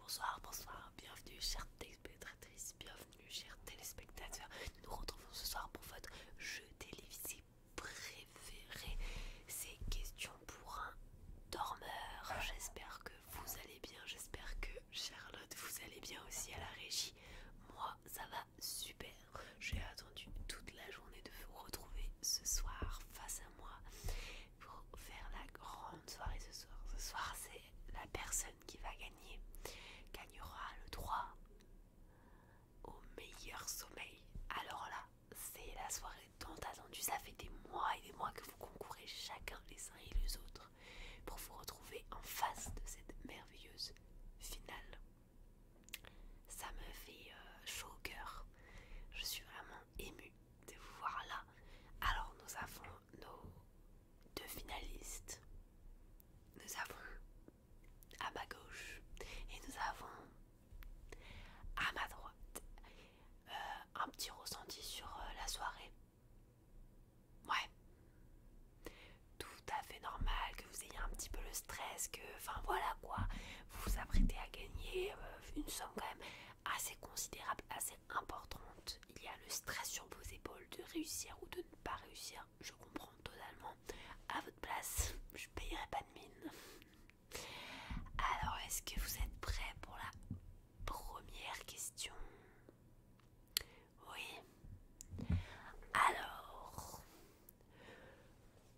Bonsoir, bonsoir, bienvenue chers téléspectatrice, bienvenue chers téléspectateurs. Nous nous retrouvons ce soir pour votre jeu télévisé préféré. C'est question pour un dormeur. J'espère que vous allez bien, j'espère que Charlotte vous allez bien aussi à la régie. Moi ça va super. J'ai attendu toute la journée de vous retrouver ce soir face à moi pour faire la grande soirée ce soir. Ce soir, c'est la personne qui va gagner, gagnera le droit au meilleur sommeil. Alors là, c'est la soirée tant attendue. Ça fait des mois et des mois que vous concourez chacun les uns et les autres pour vous retrouver en face de cette merveilleuse finale ça me fait euh, chaud au cœur. Je suis vraiment émue de vous voir là. Alors nous avons nos deux finalistes. Nous avons à ma gauche et nous avons à ma droite euh, un petit ressenti sur euh, la soirée. Ouais, tout à fait normal que vous ayez un petit peu le stress, que, enfin voilà quoi, vous vous apprêtez à gagner euh, une somme quand même assez considérable, assez importante. Il y a le stress sur vos épaules de réussir ou de ne pas réussir, je comprends totalement. À votre place, je payerai pas de mine. Alors, est-ce que vous êtes prêt pour la première question oui. Alors,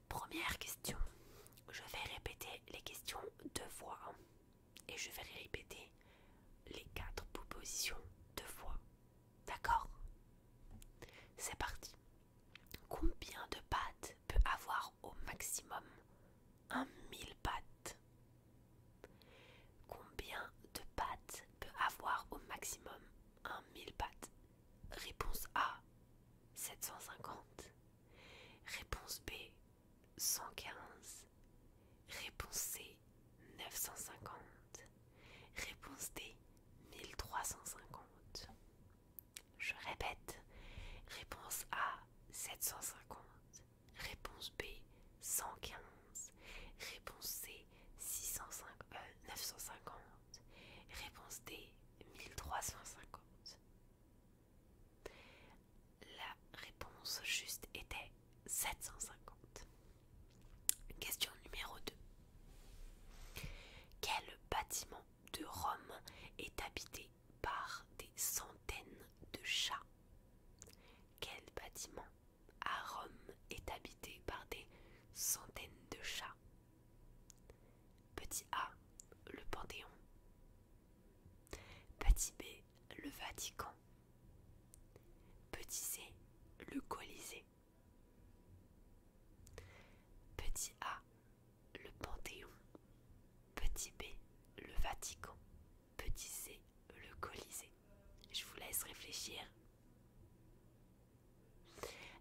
première question. Je vais répéter les questions deux fois. Et je vais répéter les quatre propositions deux fois. D'accord C'est parti. Combien de pattes peut avoir au maximum un mille pattes Combien de pattes peut avoir au maximum 1000 pattes Réponse A 750 Réponse B 115 Réponse C 950 Réponse D 1350 Je répète Réponse A 750 Réponse B 115 Réponse C, 950. Euh, réponse D, 1350. La réponse juste était 750. Question numéro 2. Quel bâtiment de Rome est habité par des centaines de chats Quel bâtiment à Rome est habité par des centaines de chats. Petit A, le Panthéon. Petit B, le Vatican. Petit C, le Colisée. Petit A, le Panthéon. Petit B, le Vatican. Petit C, le Colisée. Je vous laisse réfléchir.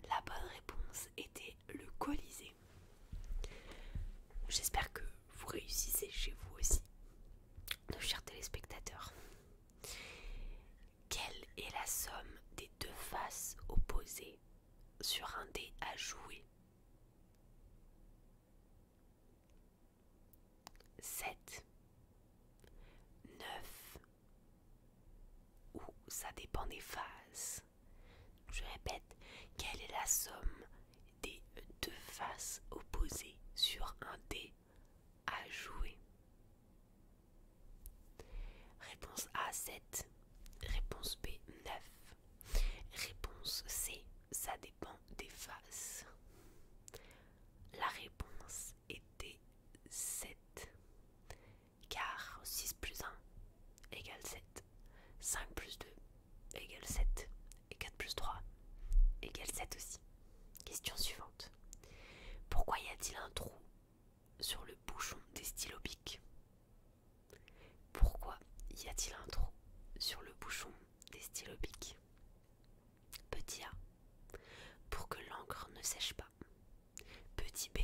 La bonne réponse était le Colisée. J'espère que vous réussissez chez vous aussi, nos chers téléspectateurs. Quelle est la somme des deux faces opposées sur un dé à jouer 7 9 ou ça dépend des faces. Je répète, quelle est la somme des deux faces opposées sur un dé à jouer Réponse A 7, réponse B 9, réponse C ça dépend des faces. La réponse était 7. Car 6 plus 1 égale 7. 5 plus 2 égale 7. Et 4 plus 3 égale 7 aussi. Question suivante. Pourquoi y a-t-il un trou sur le bouchon des stylos biques Pourquoi y a-t-il un trou sur le bouchon des stylos Petit A. Pour que l'encre ne sèche pas. Petit B.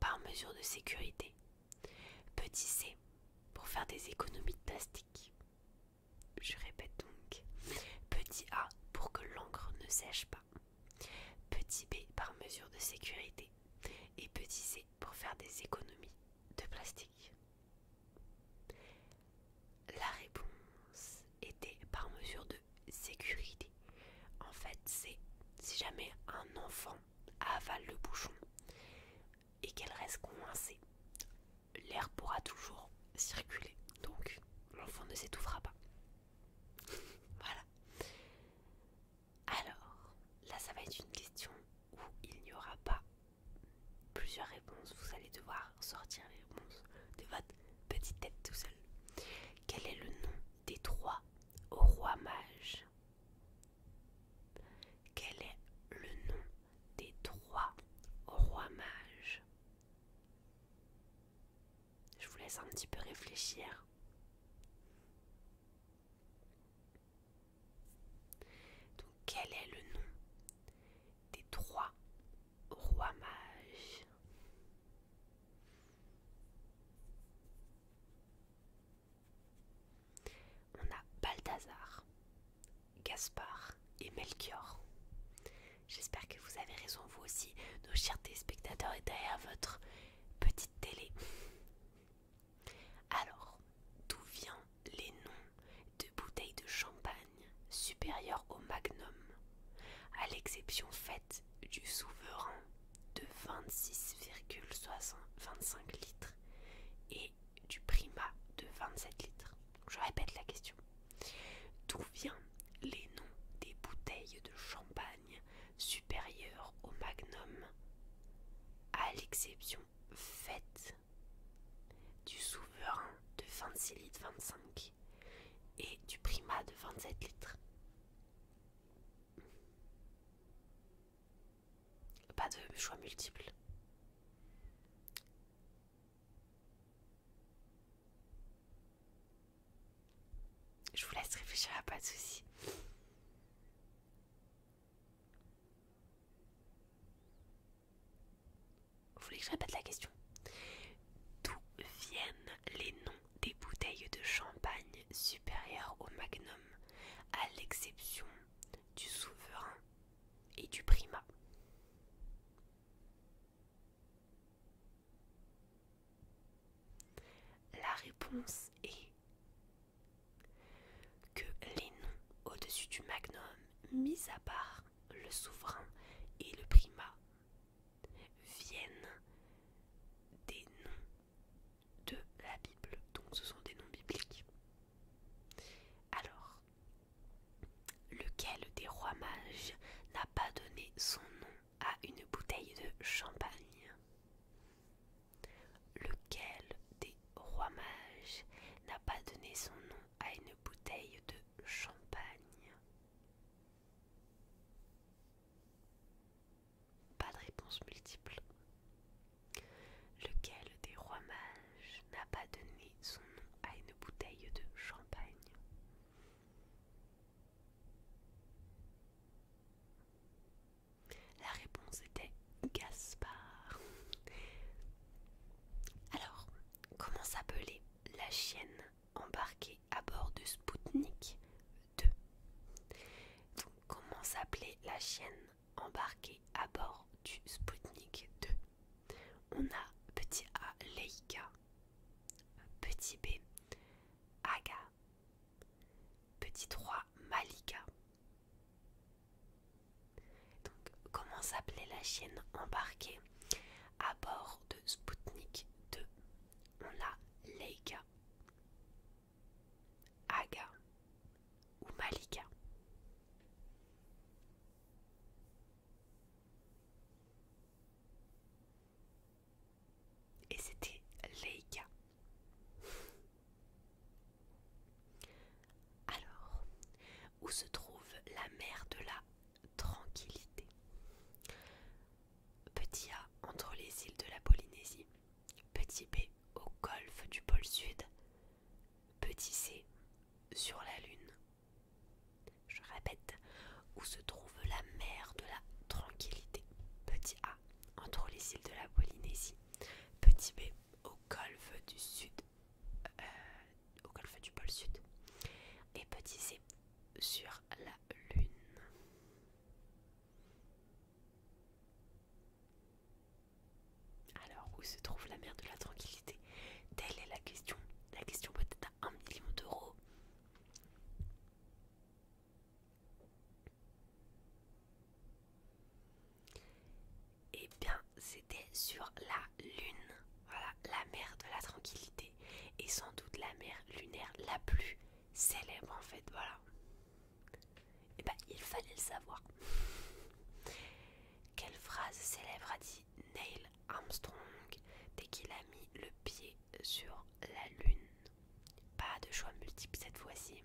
Par mesure de sécurité. Petit C. Pour faire des économies de plastique. Je répète donc. Petit A. Pour que l'encre ne sèche pas. Petit B. Par mesure de sécurité. Et petit C. Pour faire des économies de plastique. La réponse était par mesure de sécurité. En fait, c'est si jamais un enfant avale le bouchon et qu'elle reste coincée, l'air pourra toujours circuler. Donc, l'enfant ne s'étouffera pas. voilà. Alors, là, ça va être une question où il n'y aura pas plusieurs réponses. Vous allez devoir sortir les réponses de votre petite tête tout seul. Quel est le nom des trois rois-mages Quel est le nom des trois rois-mages Je vous laisse un petit peu réfléchir. Donc quel est le nom des trois roi mage. On a Balthazar, Gaspard et Melchior. J'espère que vous avez raison, vous aussi, nos chers téléspectateurs, et derrière votre petite télé. Alors, d'où viennent les noms de bouteilles de champagne supérieure supérieur au magnum, à l'exception faite du souverain de 26,25 litres et du primat de 27 litres. Je répète la question. D'où viennent les noms des bouteilles de champagne supérieures au magnum, à l'exception faite du souverain de 26 litres 25 et du prima de 27 litres. Pas de choix multiples. Je vous laisse réfléchir à pas de soucis. Vous voulez que je la question D'où viennent les noms des bouteilles de champagne supérieures au magnum, à l'exception du souverain et du primat La réponse est que les noms au-dessus du magnum, mis à part le souverain et le primat viennent des noms de la Bible, donc ce sont des noms bibliques. Alors, lequel des rois mages n'a pas donné son nom à une bouteille de champagne Lequel des rois mages n'a pas donné son nom à une bouteille de champagne Pas de réponse multiple. Lequel des rois mages n'a pas donné son nom à une bouteille de champagne La réponse était Gaspard. Alors, comment s'appelait la chienne embarquée à bord du Sputnik 2 comment s'appelait la chienne embarquée à bord du Sputnik 2 On a petit A Leika, petit B Aga, petit 3 Malika, donc, comment s'appelait la chienne embarquée à bord de Sputnik 2 On a Leika, Aga ou Malika. Et c'était Leika. Alors, où se trouve la mer de la tranquillité Petit A entre les îles de la Polynésie, petit B au golfe du pôle sud, petit C sur la Lune. Je répète, où se trouve la mer de la tranquillité Petit A entre les îles de la Polynésie, petit B au golfe du sud, euh, au golfe du pôle sud. Et petit C sur la Lune. Alors, où se trouve la mer de la tranquillité Telle est la question. La question peut-être à un million d'euros eh bien c'était sur la lune. Voilà, la mer de la tranquillité et sans doute la mer lunaire la plus célèbre en fait, voilà. Et eh ben il fallait le savoir. Quelle phrase célèbre a dit Neil Armstrong dès qu'il a mis le pied sur la lune Pas de choix multiple cette fois-ci.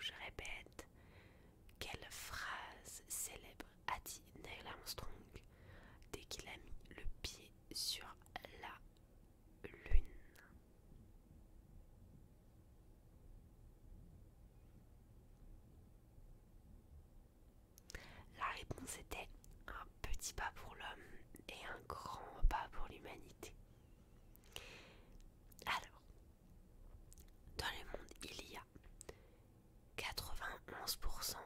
Je répète, quelle phrase célèbre a dit Neil Armstrong dès qu'il a mis le pied sur la Lune La réponse était un petit pas pour l'homme et un grand pas pour l'humanité. Alors, dans le monde, il y a 91%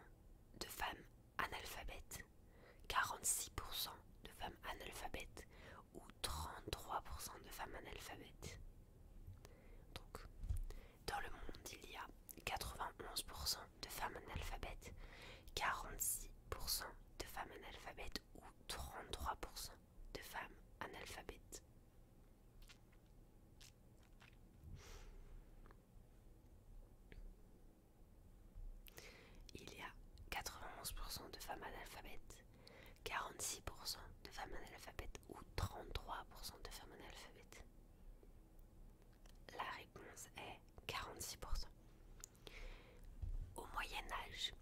de femmes analphabètes, 46% de femmes analphabètes ou 33% de femmes analphabètes. Donc, dans le monde, il y a 91% de femmes analphabètes, 46% de femmes analphabètes ou 33% de femmes analphabètes. Il y a 91% de femmes analphabètes, 46% de femmes analphabètes ou 33% de femmes analphabètes. La réponse est 46%. Au Moyen Âge,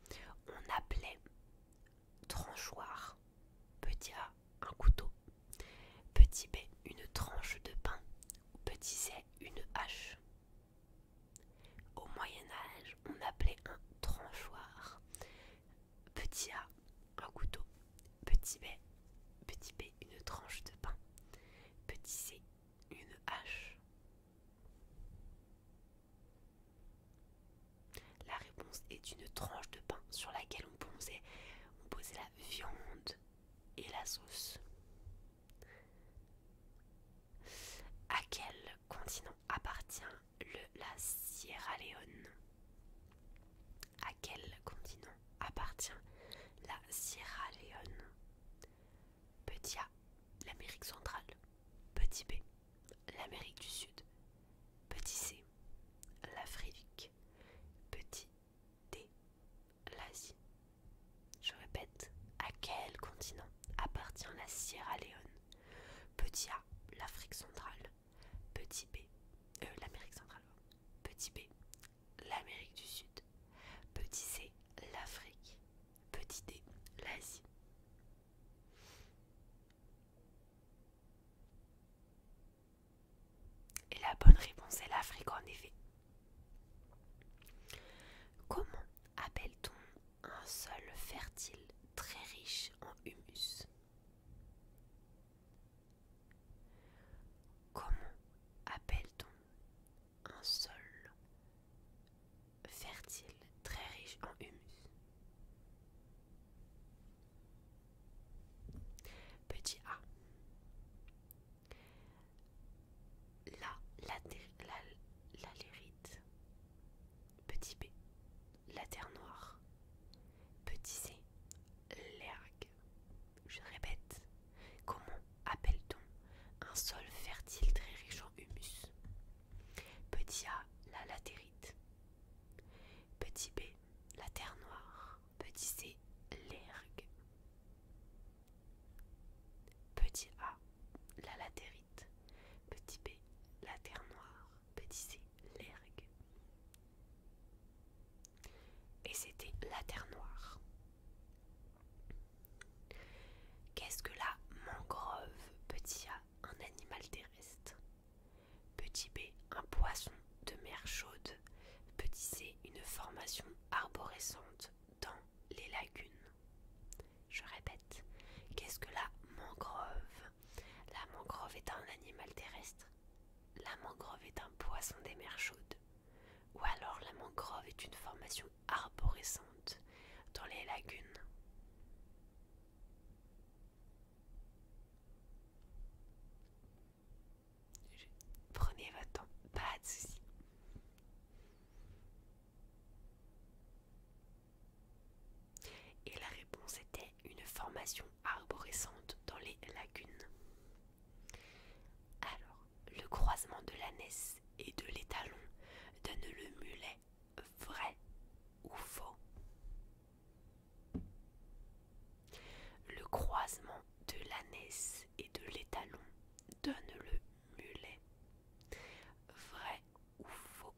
on appelait tranchoir. Petit A, un couteau. Petit B, une tranche de pain. Petit C, une hache. Au Moyen Âge, on appelait un tranchoir. Petit A, un couteau. Petit B, petit B, une tranche de pain. Petit C, une hache. La réponse est une tranche de pain sur laquelle on posait, la viande et la sauce. À quel continent appartient le, la Sierra Leone À quel continent appartient la Sierra Leone Petit A, l'Amérique centrale. Petit B, l'Amérique du Sud, petit c, l'Afrique, petit d, l'Asie. Je répète, à quel continent appartient la Sierra Leone Petit a, l'Afrique centrale, petit b, euh, l'Amérique centrale, petit b, l'Amérique du Sud, petit c, l'Afrique, petit d, l'Asie. Et la bonne réponse est l'Afrique en effet. Comment appelle-t-on un sol fertile très riche en humus Comment appelle-t-on un sol fertile, très riche en humus. Petit A. La, la, lérite. Petit B. La terre noire. Petit C. L'ergue. Je répète. Comment appelle-t-on un sol fertile très riche en humus Petit A. La latérite. Petit b, la terre noire. Petit c, l'ergue. Petit a, la latérite. Petit b, la terre noire. Petit c, l'ergue. Et c'était la terre noire. Qu'est-ce que la mangrove Petit a, un animal terrestre. Petit b, un poisson de mer chaude. Petit c, une formation arborescente dans les lagunes. Je répète, qu'est-ce que la mangrove La mangrove est un animal terrestre. La mangrove est un poisson des mers chaudes. Ou alors la mangrove est une formation arborescente dans les lagunes. Prenez votre temps, pas de soucis. Et la réponse était une formation arborescente dans les lagunes. Alors, le croisement de l'ânesse et de l'étalon donne le mulet vrai ou faux. Le croisement de l'ânesse et de l'étalon donne le mulet. Vrai ou faux.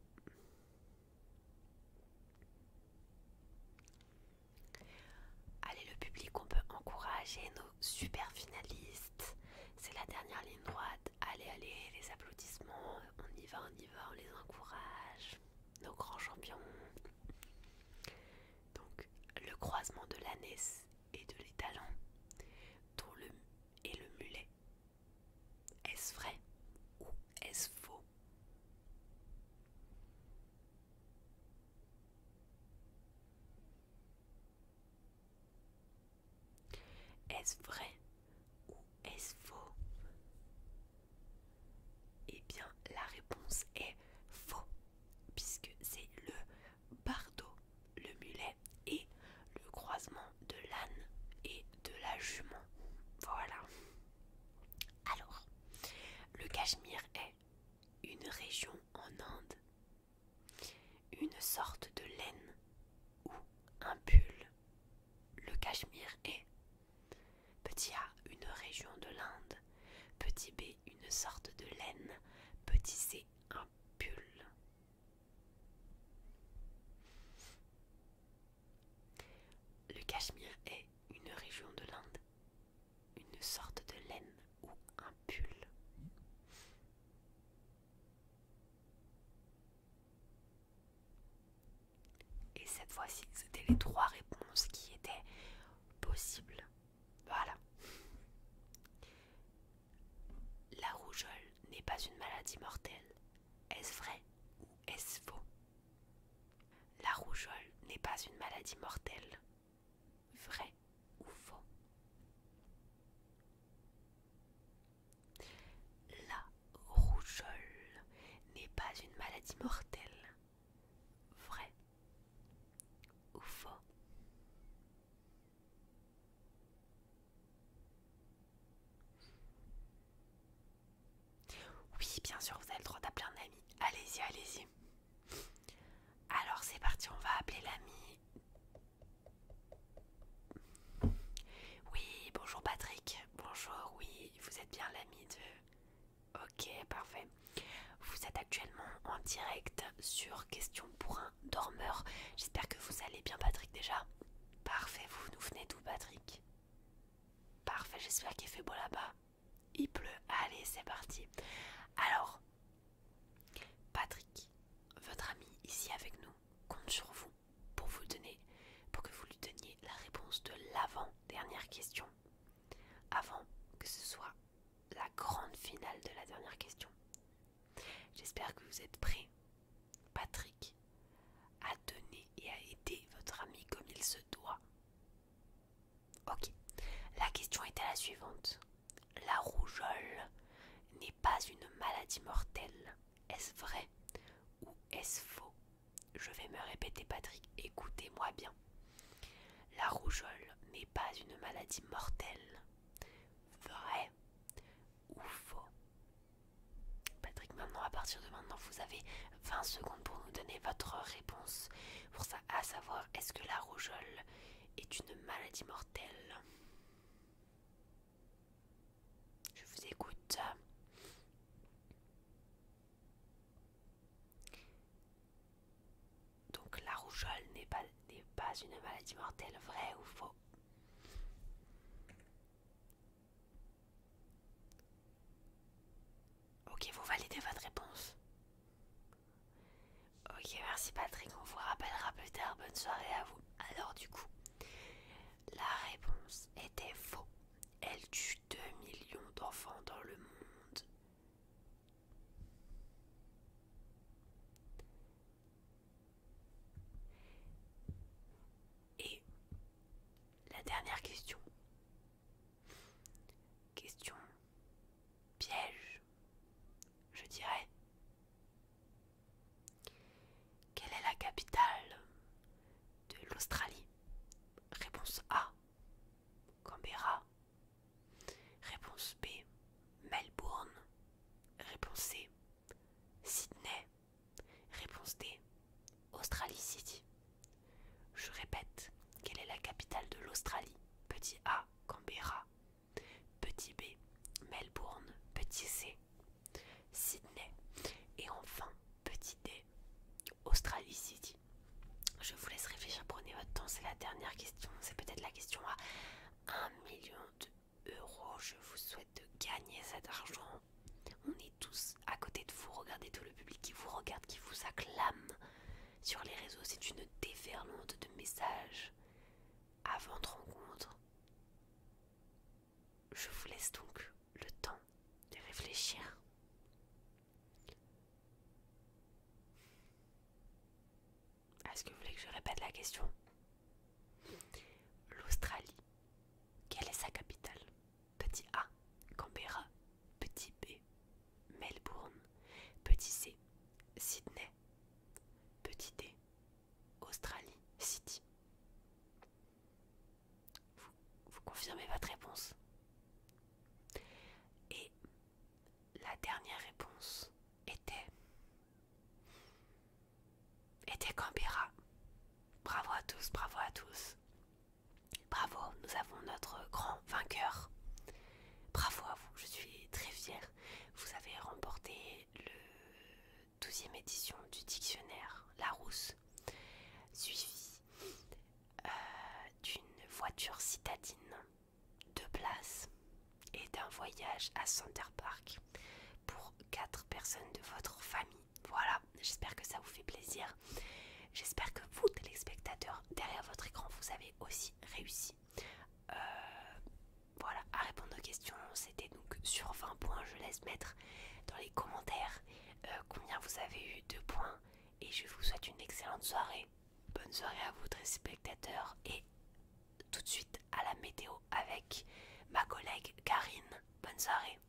Allez le public, on peut encourager nos super finalistes. C'est la dernière ligne droite allez, allez, les applaudissements, on y va, on y va, on les encourage, nos grands champions. Donc, le croisement de l'ânesse et de l'étalon, dont et le mulet. Est-ce vrai ou est-ce faux est-ce vrai ou est-ce faux Eh bien, la réponse est faux, puisque c'est le bardo, le mulet et le croisement de l'âne et de la jument. Voilà. Alors, le Cachemire est une région en Inde une sorte de laine ou un pull. Le cachemire est petit A une région de l'Inde, petit B une sorte de laine, petit C un pull. Le cachemire est une région de l'Inde, une sorte de laine ou un pull. Et cette fois-ci, c'était les trois réponses qui étaient possibles. Voilà. La rougeole n'est pas une maladie mortelle. Est-ce vrai ou est-ce faux La rougeole n'est pas une maladie mortelle. Vrai ou faux la rougeole n'est pas une maladie mortelle. Vrai ou faux Oui, bien sûr, vous avez le droit d'appeler un ami. Allez-y, allez-y. Alors c'est parti, on va appeler l'ami oui, bonjour Patrick. Bonjour, oui, vous êtes bien l'ami de... Ok, parfait. Vous êtes actuellement en direct sur Question pour un dormeur. J'espère que vous allez bien Patrick déjà. Parfait, vous nous venez d'où Patrick Parfait, j'espère qu'il fait beau là-bas. Il pleut, allez c'est parti. Alors, Patrick, votre ami ici avec nous, compte sur vous pour vous donner, pour que vous lui donniez la réponse de l'avant-dernière question, avant que ce soit la grande finale de la dernière question. J'espère que vous êtes prêt, Patrick à donner et à aider votre ami comme il se doit. Ok, la question était la suivante. La rougeole n'est pas une maladie mortelle. Est-ce vrai ou est-ce faux Je vais me répéter Patrick, écoutez-moi bien. La rougeole n'est pas une maladie mortelle. Vrai ou faux Patrick, maintenant, à partir de maintenant, vous avez 20 secondes pour nous donner votre réponse. Pour à savoir, est-ce que la rougeole est une maladie mortelle je vous écoute. Donc la rougeole n'est pas, une maladie mortelle, vrai ou faux Ok, vous validez votre réponse. Ok, merci Patrick, on vous rappellera plus tard. Bonne soirée à vous. Alors, du coup, la réponse était faux. Elle tue 2 millions d'enfants dans le monde. Et la dernière question. Question piège, je dirais. Quelle est la capitale de l'Australie Réponse A. Canberra. Réponse B. Melbourne. Réponse C. Sydney. Réponse D. Australie City. Je répète, quelle est la capitale de l'Australie Petit A. Canberra. Petit B, Melbourne, petit C, Sydney et enfin petit D, Australie City. Je vous laisse réfléchir, prenez votre temps, c'est la dernière question, c'est peut-être la question à 1 million d'euros. Je vous souhaite de gagner cet argent. On est tous à côté de vous, regardez tout le public qui vous regarde, qui vous acclame. Sur les réseaux, c'est une déferlante de messages. Avant de rencontre. Je vous laisse donc le temps de réfléchir. Ah, est-ce que vous voulez que je répète la question L'Australie, quelle est sa capitale Petit A, Canberra, petit B, Melbourne, petit C, Sydney, petit D, Australie City. Vous, confirmez votre réponse. Et la dernière réponse était était Canberra. Bravo à tous, bravo à tous. Bravo, nous avons notre grand vainqueur. Bravo à vous, je suis très fière vous avez remporté le 12e édition du dictionnaire Larousse, suivi euh, d'une voiture citadine de place et d'un voyage à Center Park pour quatre personnes de votre famille. Voilà, j'espère que ça vous fait plaisir. J'espère que vous, téléspectateurs, derrière votre écran, vous avez aussi réussi euh, voilà, à répondre aux questions, c'était donc sur 20 points. Je laisse mettre dans les commentaires euh, combien vous avez eu de points. Et je vous souhaite une excellente soirée. Bonne soirée à vous, très spectateurs. Et tout de suite à la météo avec ma collègue Karine. Bonne soirée.